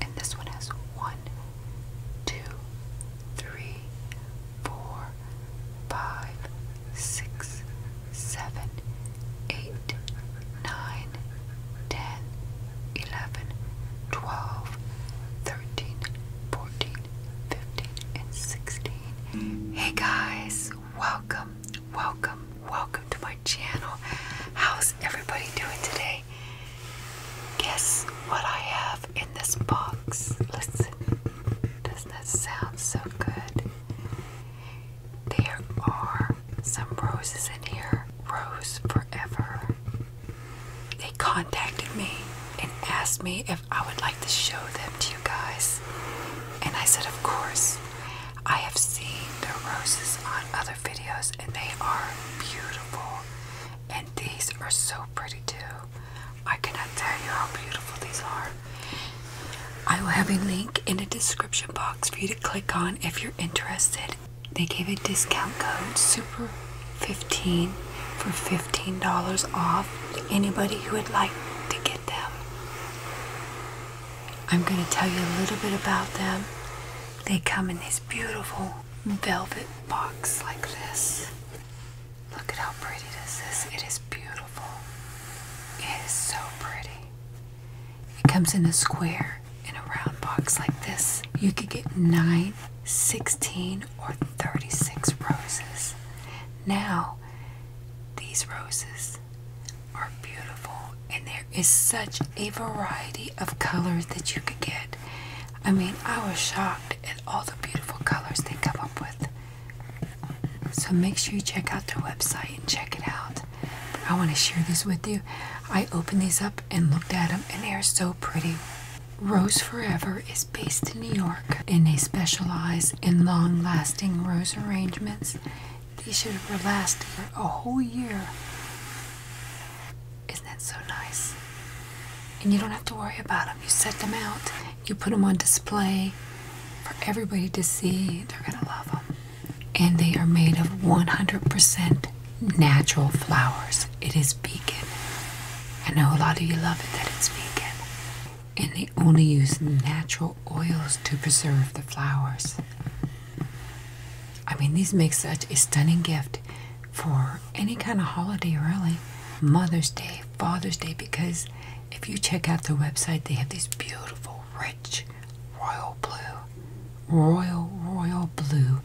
And this one has one, two, three, four, five, six, seven, eight, nine, ten, eleven, twelve, thirteen, fourteen, 15, and 16. Hey guys, welcome, welcome, welcome to my channel. How's everybody doing today? Guess what I have in this box? Listen, doesn't that sound so good? There are some roses in here. Rose Forever. They contacted me and asked me if I would like to show them to you guys. And I said, Of course. I have seen the roses on other videos and they are beautiful. And these are so pretty too. I cannot tell you how beautiful these are. I will have a link in the description box for you to click on if you're interested. They gave a discount code super 15 for $15 off anybody who would like to get them. I'm going to tell you a little bit about them. They come in this beautiful velvet box like this. Look at how pretty this is. It is beautiful. It is so pretty. It comes in a square in a round box like this. You could get nine 16 or 36 roses. Now, these roses are beautiful, and there is such a variety of colors that you could get. I mean, I was shocked at all the beautiful colors they come up with. So, make sure you check out their website and check it out. I want to share this with you. I opened these up and looked at them, and they are so pretty. Rose Forever is based in New York and they specialize in long lasting rose arrangements. These should last a whole year. Isn't that so nice? And you don't have to worry about them. You set them out, you put them on display for everybody to see. They're going to love them. And they are made of 100% natural flowers it is vegan. I know a lot of you love it that it's vegan. And they only use natural oils to preserve the flowers. I mean, these make such a stunning gift for any kind of holiday, really. Mother's Day, Father's Day, because if you check out their website, they have these beautiful, rich, royal blue, royal, royal blue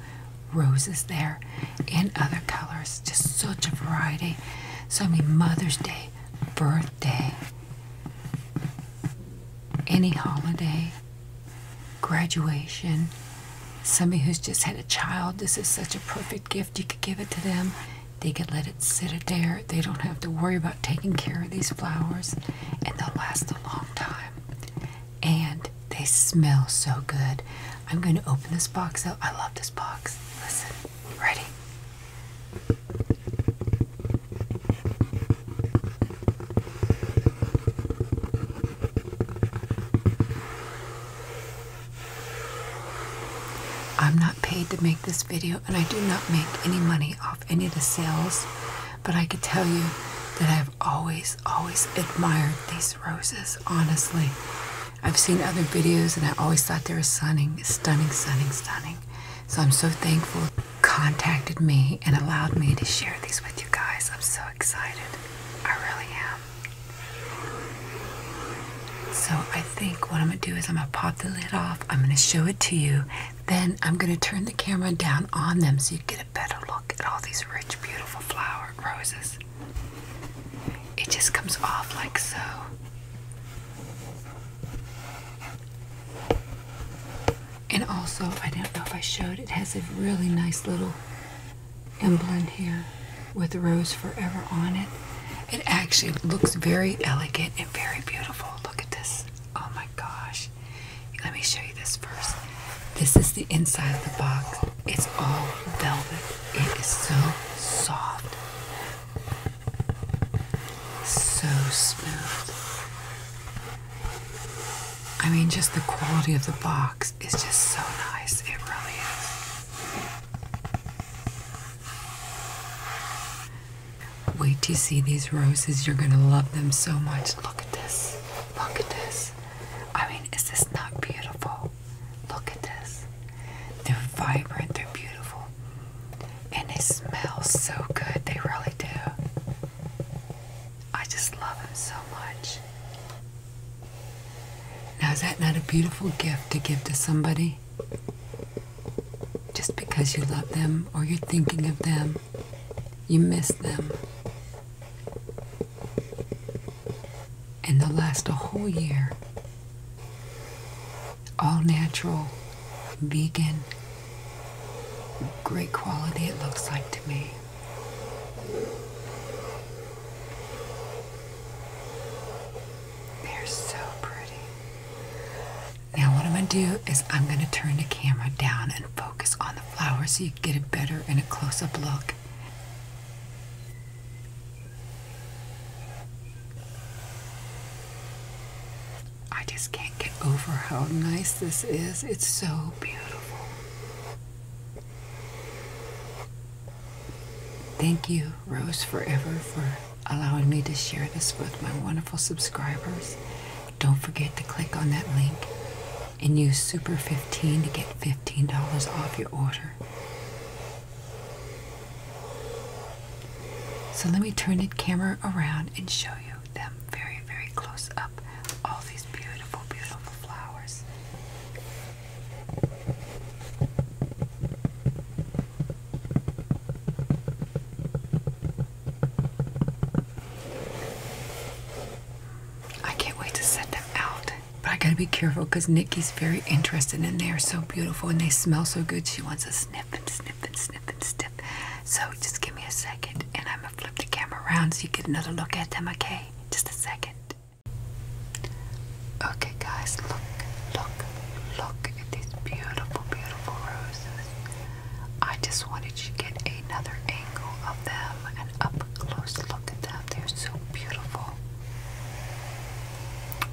roses there in other colors. Just such a variety. So I mean, Mother's Day, birthday, any holiday, graduation, somebody who's just had a child. This is such a perfect gift. You could give it to them. They could let it sit there. They don't have to worry about taking care of these flowers, and they'll last a long time and they smell so good. I'm going to open this box up. I love this box. Listen, ready? I'm not paid to make this video, and I do not make any money off any of the sales, but I can tell you that I've always, always admired these roses, honestly. I've seen other videos and I always thought they were stunning, stunning, stunning, stunning. So I'm so thankful contacted me and allowed me to share these with you guys. I'm so excited. I really am. So I think what I'm going to do is I'm going to pop the lid off. I'm going to show it to you. Then I'm going to turn the camera down on them so you get a better look at all these rich, beautiful flower roses. It just comes off like so. And also, I don't know if I showed, it has a really nice little emblem here with Rose Forever on it. It actually looks very elegant and very beautiful. Look at this. Oh my gosh. Let me show you this first. This is the inside of the box. It's all velvet. It is so soft. So smooth. I mean, just the quality of the box is just so nice. It really is. Wait to see these roses. You're going to love them so much. Look at this. Look at this. I mean, is this not beautiful? Look at this. They're vibrant, they're beautiful. And they smell so good, they really do. I just love them so much. Now, is that not a beautiful gift to give to somebody? Just because you love them or you're thinking of them, you miss them and they'll last a whole year. All natural, vegan, great quality it looks like to me. They're so pretty. Now, what I'm going to do is I'm going to turn the camera down and focus on the. Flowers, so you get a better and a close-up look. I just can't get over how nice this is. It's so beautiful. Thank you, Rose Forever, for allowing me to share this with my wonderful subscribers. Don't forget to click on that link and use Super15 to get $15 off your order. So let me turn the camera around and show you them very, very close up. All these beautiful, beautiful flowers. I can't wait to set them out. But I gotta be careful because Nikki's very interested and they are so beautiful and they smell so good. She wants to sniff and sniff and sniff and sniff. So just give me a second and I'm gonna flip the camera around so you get another look at them, okay? Just a second. Okay guys, look, look, look at these beautiful, beautiful roses. I just wanted to get another angle of them, and up close look at them. They're so beautiful.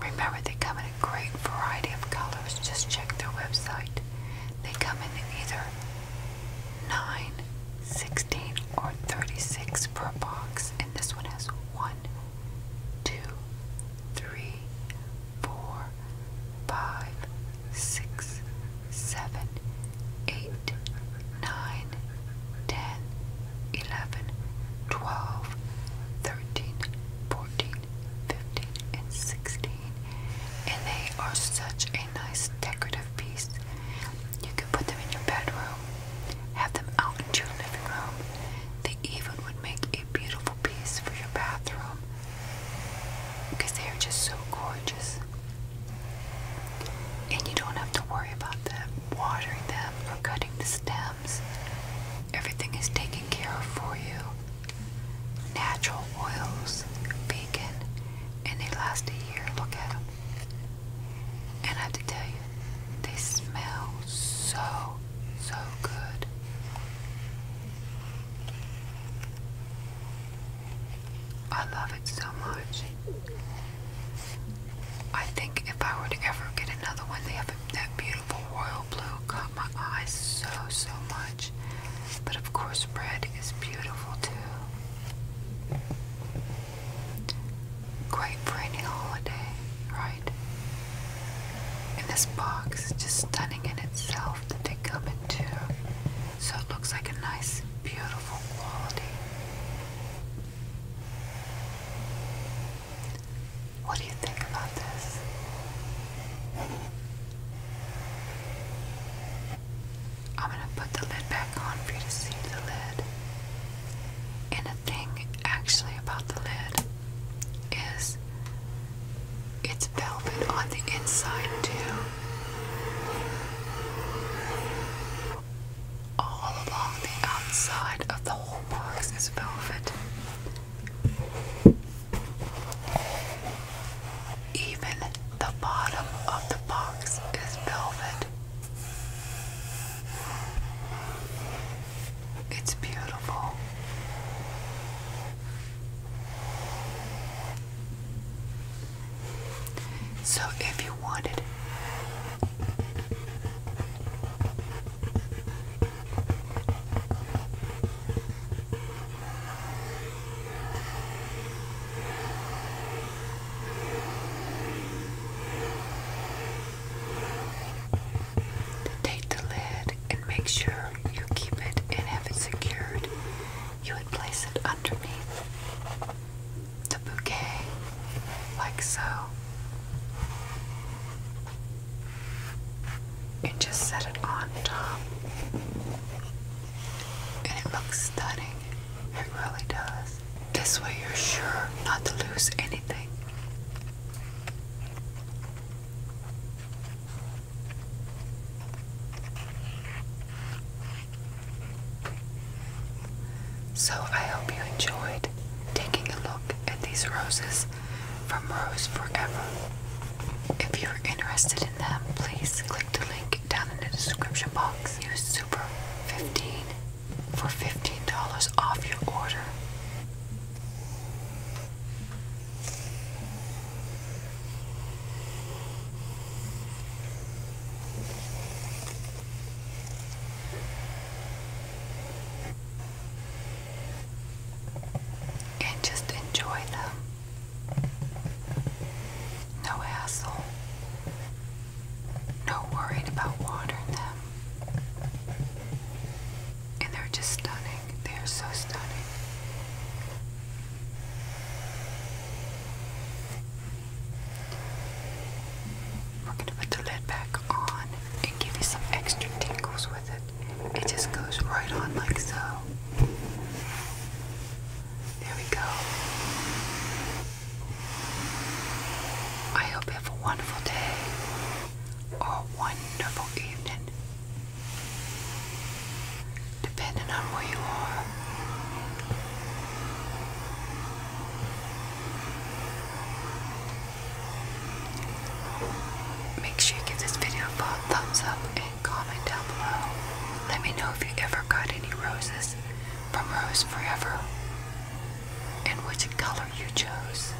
Remember, they come in a great variety of colors. Just check their website. They come in either 9, or 36 per box, and this one has 1, six, seven, eight, nine, ten, eleven, twelve, thirteen, fourteen, fifteen, and sixteen. And they are such a nice decorative piece. You can put them in your bedroom, have them out in your living room. They even would make a beautiful piece for your bathroom because they're just so gorgeous. And you don't have to worry about them watering them or cutting the stems. Everything is taken care of for you. Natural oils, vegan, and they last a year. Look at them. And I have to tell you, they smell so, so good. I love it so much. I think if I were to ever get another one, that beautiful royal blue caught my eye so, so much. But of course, red is beautiful too. Great for holiday, right? And this box is just stunning in itself come in two. So it looks like a nice, beautiful quality. What do you think about this? I'm going to put the lid back on for you to see the lid. And a thing actually about the lid is it's velvet on the inside, too. All along the outside of the whole box is velvet. Even the bottom of the box is velvet. It's beautiful. So, if you wanted Take the lid and make sure you keep it and have it you would place it underneath the bouquet, like so, and just set it on top. And it looks stunning, it really does. This way, you're sure not to lose anything. So I hope you enjoyed taking a look at these roses from Rose Forever. If you're interested in them, please click the link down in the description box. Use Super 15 for $15 off your order and just enjoy them. No hassle, no worried about watering them. And they're just stunning. They are so stunning. We're going to put the lid back on and give you some extra tingles with it. It just goes right on like so. There we go. I hope you have a wonderful day or a wonderful evening. Depending on where you are. Make sure you give this video a thumbs up and comment down below. Let me know if you ever got any roses from Rose Forever and which color you chose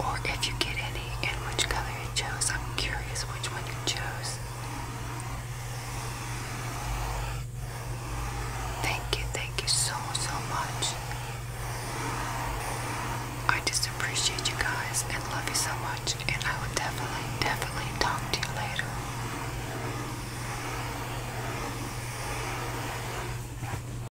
or if you get any, and which color you chose. I'm curious which one you chose. Thank you, thank you so, so much. I just appreciate you guys and love you so much, and I will definitely, definitely talk to you later.